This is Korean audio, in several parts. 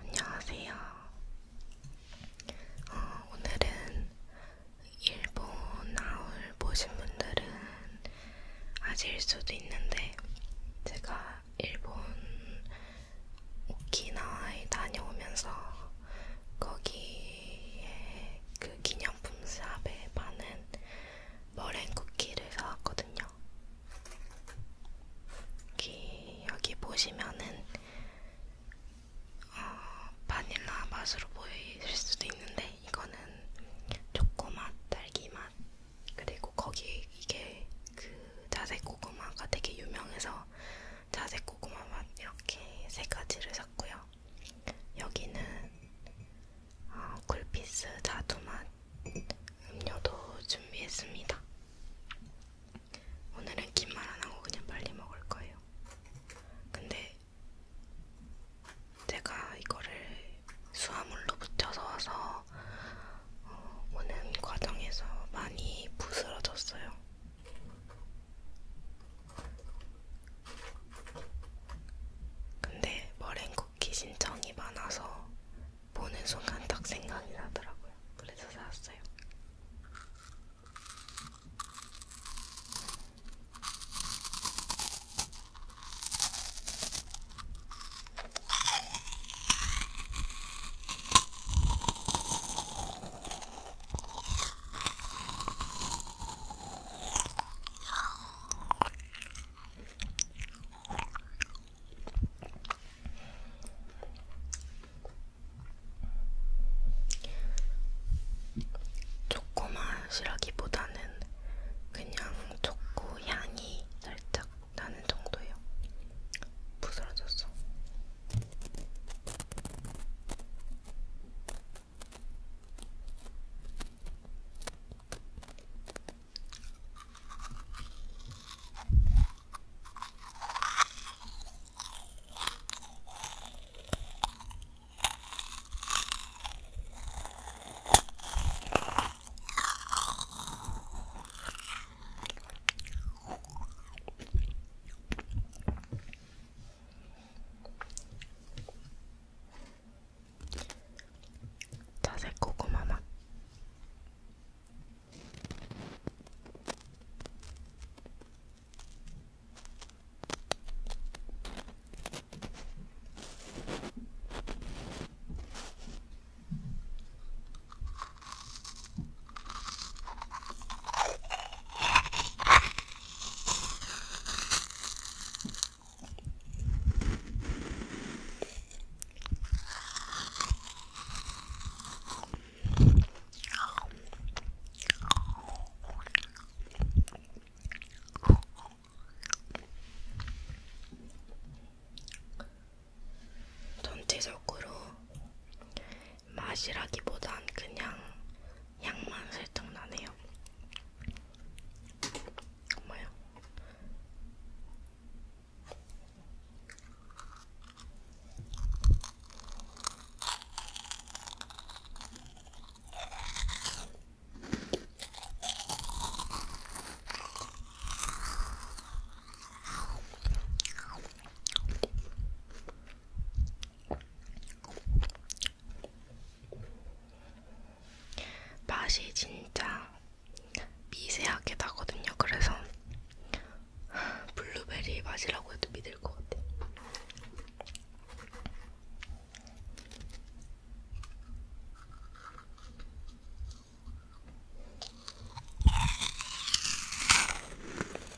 안녕하세요. 어, 오늘은 일본 나올 보신 분들은 아실 수도 있는데 제가 일본 오키나와에 다녀오면서 거기에 그 기념품 샵에 파는 머랭 쿠키를 사왔거든요. 여기, 여기 보시면은 어, 바닐라 맛으로 보이실 수도 있는데 이거는 초코맛, 딸기맛 그리고 거기 이게 그 자색 고구마가 되게 유명해서 자색 고구마 맛 이렇게 세 가지를 샀고요. 여기는 어, 굴피스 자두 맛 음료도 준비했습니다. 오늘은 긴말 안 하고 그냥 빨리 먹을 거예요. 근데 제가 이거를 수화물로 붙여서 와서 어, 오는 과정에서 많이 부스러졌어요. 근데 머랭쿠키 신청이 많아서 보는 순간 딱 생각이 나더라고요. 그래서 샀어요. 초코맛이라기보다는 그냥 초코 향이 살짝 나는 정도예요. 부스러졌어. 자색 고구마 맛. 전체적으로 맛이라기보단 그냥 향만 살짝 나네요. 뭐요? 맛이 진짜 미세하게 나거든요. 그래서 블루베리 맛이라고 해도 믿을 것 같아요.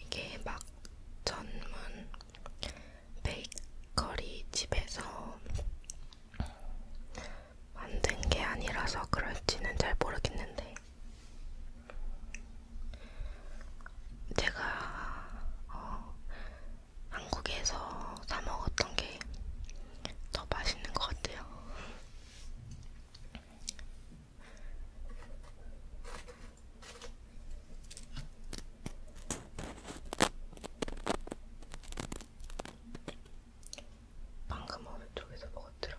이게 막 전문 베이커리 집에서 만든 게 아니라서 그럴지는 잘 모르겠는데 제가 어, 한국에서 사 먹었던 게 더 맛있는 것 같아요. 방금 오른쪽에서 먹었더라.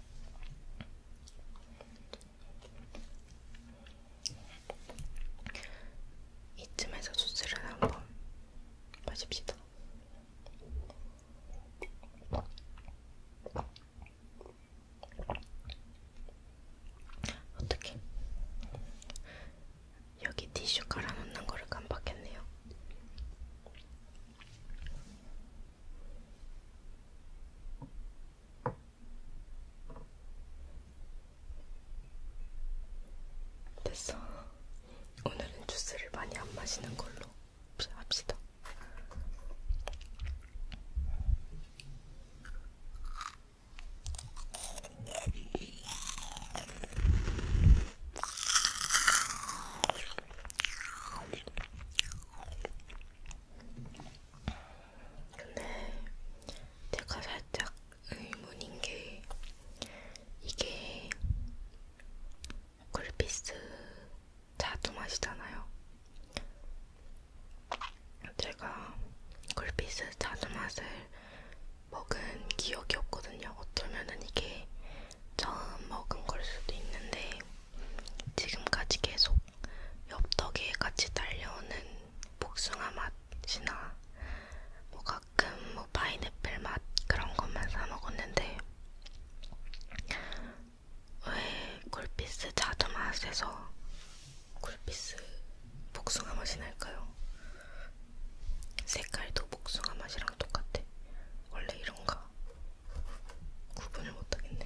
이쯤에서 소스를 한번 마십시다. 어떻게? 여기 티슈 깔아놓는 거를 깜빡했네요. 됐어. 오늘은 주스를 많이 안 마시는 걸로 합시다. 근데 제가 살짝 의문인 게 이게 굴피스 자두 맛이잖아요. 제가 굴피스 자두 맛을 먹은 기억이 없거든요. 어쩌면은 이게 처음 먹은 걸 수도 있는데 지금까지 계속 엽떡에 같이 달려오는 복숭아 맛이나 뭐 가끔 뭐 파인애플 맛 그런 것만 사 먹었는데 왜 굴피스 자두 맛에서 굴피스 복숭아 맛이 날까요? 색깔도 복숭아 맛이랑 똑같아. 원래 이런가? 구분을 못하겠네.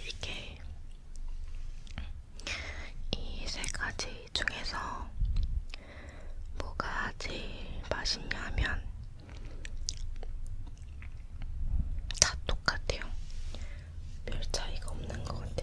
이게 이 세 가지 중에서 뭐가 제일 맛있냐면 다 똑같아요. 별 차이가 없는 것 같아.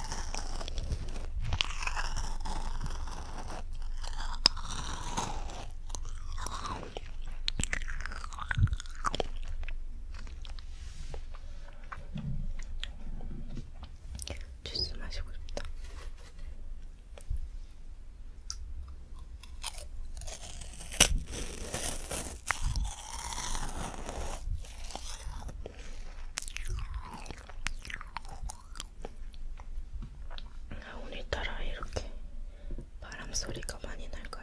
주스 마시고 싶다. 오늘따라 이렇게 바람 소리가 많이 날까요?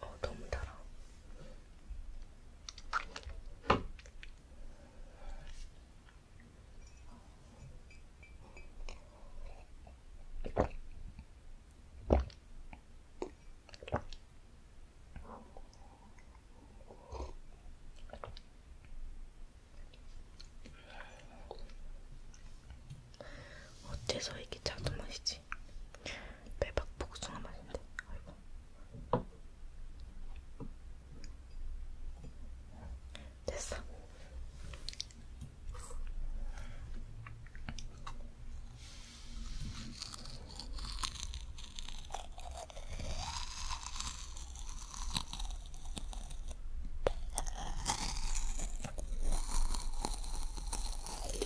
어, 너무 달아. 어째서 이게 자두 맛이지? 대박 복숭아 맛인데. 아이고. 됐어.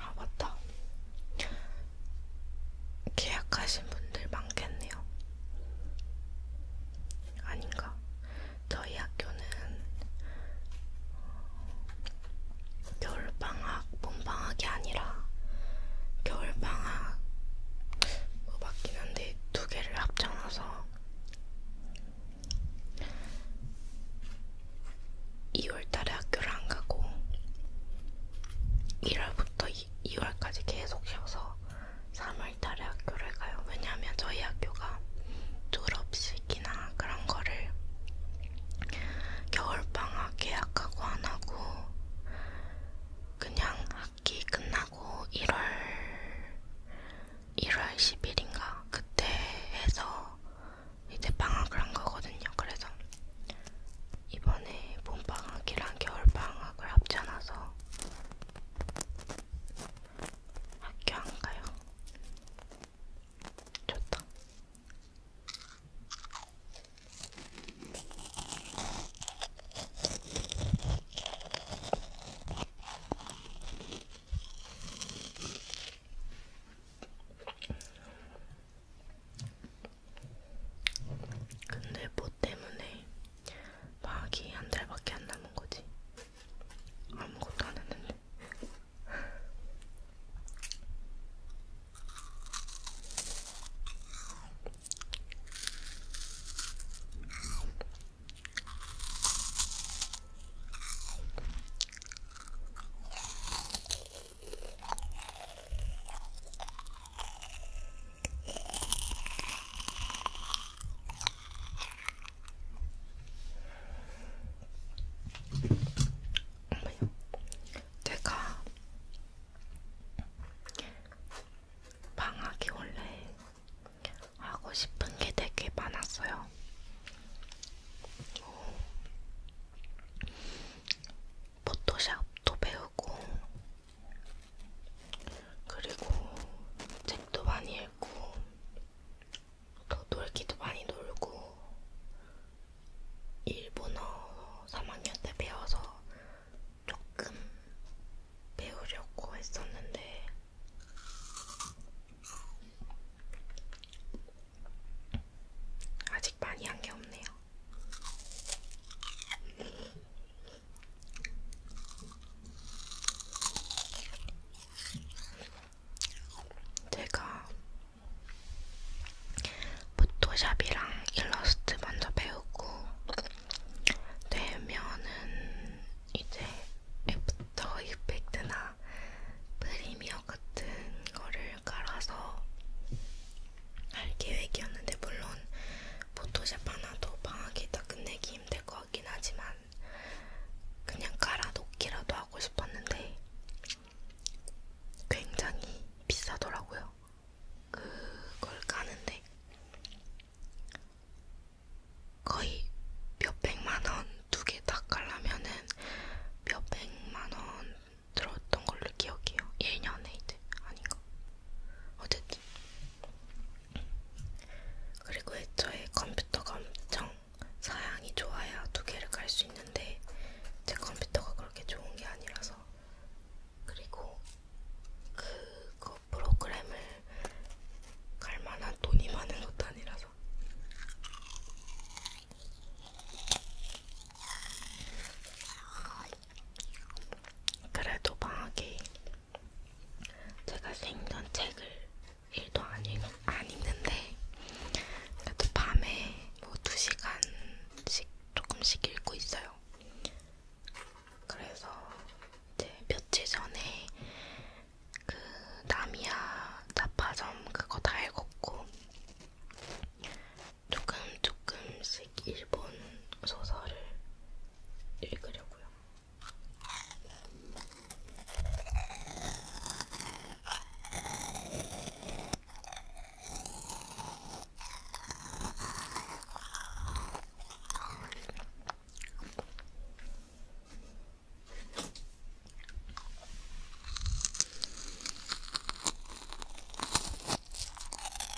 아 맞다. 계약하신 분들 많겠네요. 아닌가? 저희 학교는 겨울방학, 봄방학이 아니라 겨울방학 뭐 맞긴 한데 두 개를 합쳐놔서 2월달에 학교를 안 가고 1월부터 2월까지 계속 쉬어서 3월달에 학교를 가요. 왜냐하면 저희 학교가 졸업식이나 그런 거를 겨울방학 예약하고 안 하고 그냥 학기 끝나고 1월 1월 10일인가 그때 해서 이제 방학을 한 거거든요. 그래서 이번에 봄방학이랑 겨울방학을 합쳐놔서 학교 안 가요. 좋다. 근데 뭐 때문에 막이 한 달밖에 안 남은 거지. 아무것도 안 했는데. 제가 방학이 원래 하고 싶은 게 되게 많았어요. 뭐, 포토샵도 배우고 그리고 책도 많이 읽고 더 놀기도 많이 놀고 일본어 3학년 때 배워서 조금 배우려고 했었는데 아직 많이 한 게 없네요. 제가 포토샵이랑 일러스트 먼저 배우고 되면은 이제 애프터 이펙트나 프리미어 같은 거를 깔아서 할 계획이었는데 물론 포토샵 하나 더 방학이 다 끝내기 힘들 것 같긴 하지만 그냥 깔아놓기라도 하고 싶었는데 굉장히 비싸더라고요. 그걸 까는데 거의 몇 백만 원 두 개 다 깔라면은 몇 백만 원 들었던 걸로 기억해요. 1년에 이제 아닌가? 어쨌든 그리고 애초에 컴퓨터가 엄청 사양이 좋아야 두 개를 깔수 있는데 제 컴퓨터가 그렇게 좋은 게 아니라서 그리고 그거 프로그램을 갈 만한 돈이 많은 것도 아니라서 그래도 방학에 제가 생전 책을 일도 안, 읽, 안 읽는데 그래도 밤에 뭐 2시간씩 조금씩 읽고 있어요. 그래서 이제 며칠 전에 그 나미야 자파점 그거 다 읽었고 조금 조금씩 아직 일본 소설을 읽으려고요.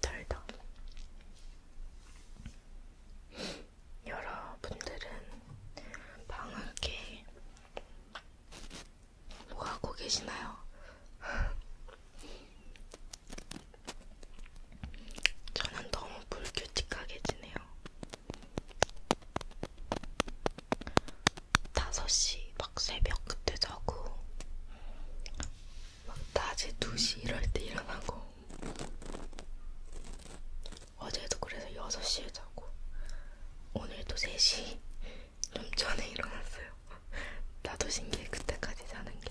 달다. 여러분들은 방학에 뭐 하고 계시나요? 저는 너무 불규칙하게 지내요. 5시 막 새벽 그때 자고 막 낮에 2시 이럴 때 일어나고 어제도 그래서 6시에 자고 오늘도 3시 좀 전에 일어났어요. 나도 신기해, 그때까지 자는 게.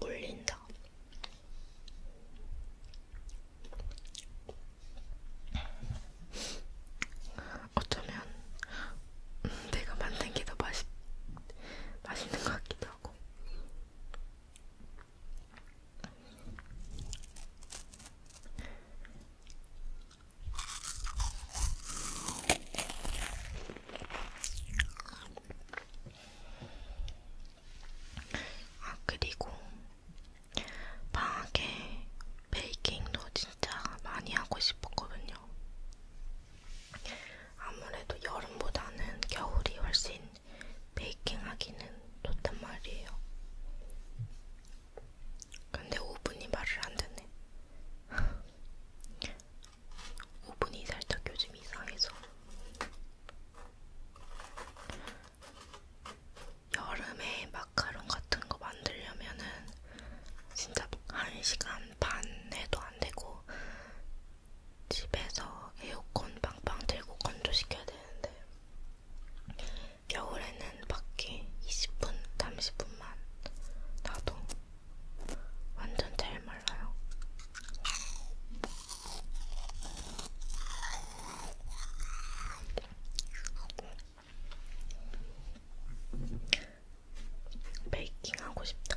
물린다. 어쩌면 내가 만든 게 더 맛있, 맛있는 것 같기도 하고. 아, 그리고 방학에 베이킹도 진짜 많이 하고 싶었거든요. 아무래도 여름보다는 겨울이 훨씬 베이킹하기는 좋단 말이에요. 근데 오븐이 말을 안 듣네. 오븐이 살짝 요즘 이상해서. 여름에 마카롱 같은 거 만들려면은 진짜 1시간 반 해도 안 되고 집에서 에어컨 빵빵 들고 건조시켜야 되는데 겨울에는 밖에 20분, 30분만 나도 완전 잘 말라요. 베이킹 하고 싶다.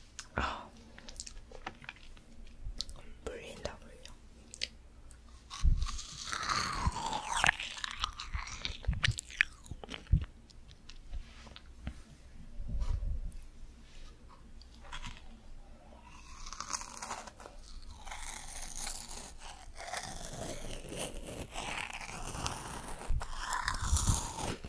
아, 물린다 물려.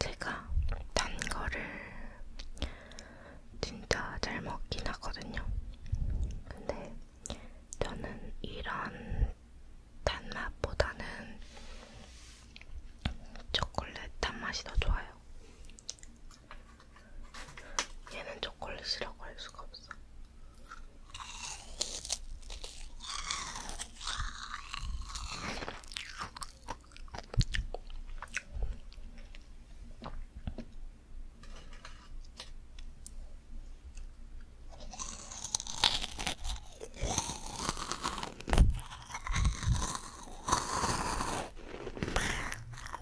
제가 단 거를 진짜 잘 먹긴 하거든요. 근데 저는 이런 단맛보다는 초콜릿 단맛이 더 좋아요. 얘는 초콜릿이라고 할 수가 없어.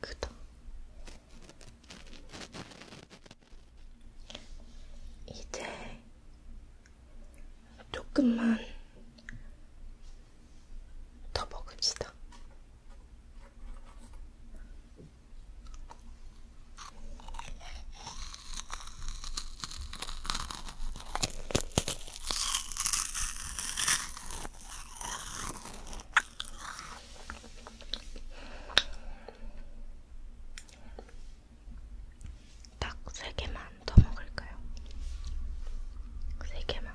구독 이제 조금만 더 먹읍시다. 딱세 개만 더 먹을까요? 세 개만.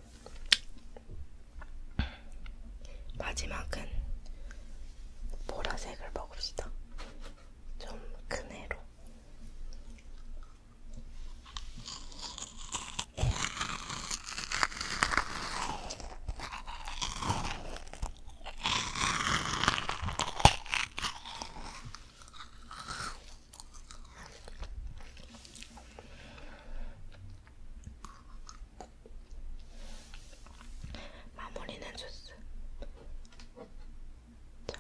마지막은 보라색을 먹읍시다. 좀 큰 애로. 마무리는 주스. 자.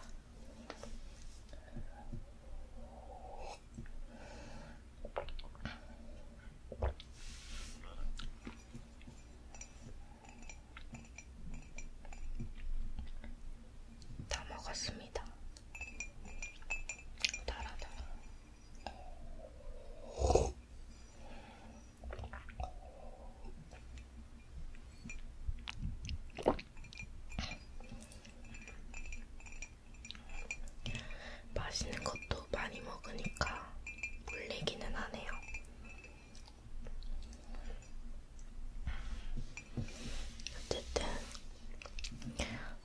다 먹었습니다. 달아달아. 맛있는 것도 많이 먹으니까 물리기는 하네요. 어쨌든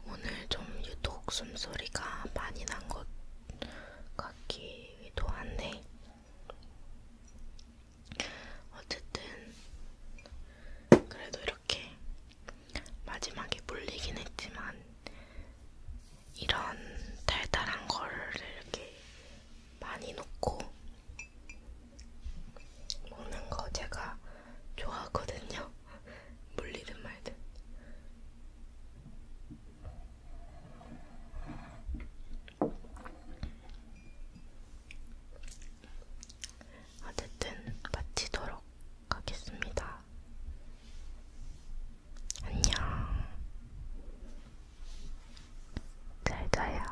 오늘 좀 유독 숨소리가 많이 난 것 같기도 한데, 어쨌든, 그래도 이렇게 마지막에 물리긴 했지만, 이런 달달한 거를 이렇게 많이 놓고 먹는 거 제가 좋아하거든요. 물리든 말든. 어쨌든 마치도록 하겠습니다. 안녕. 잘 자요.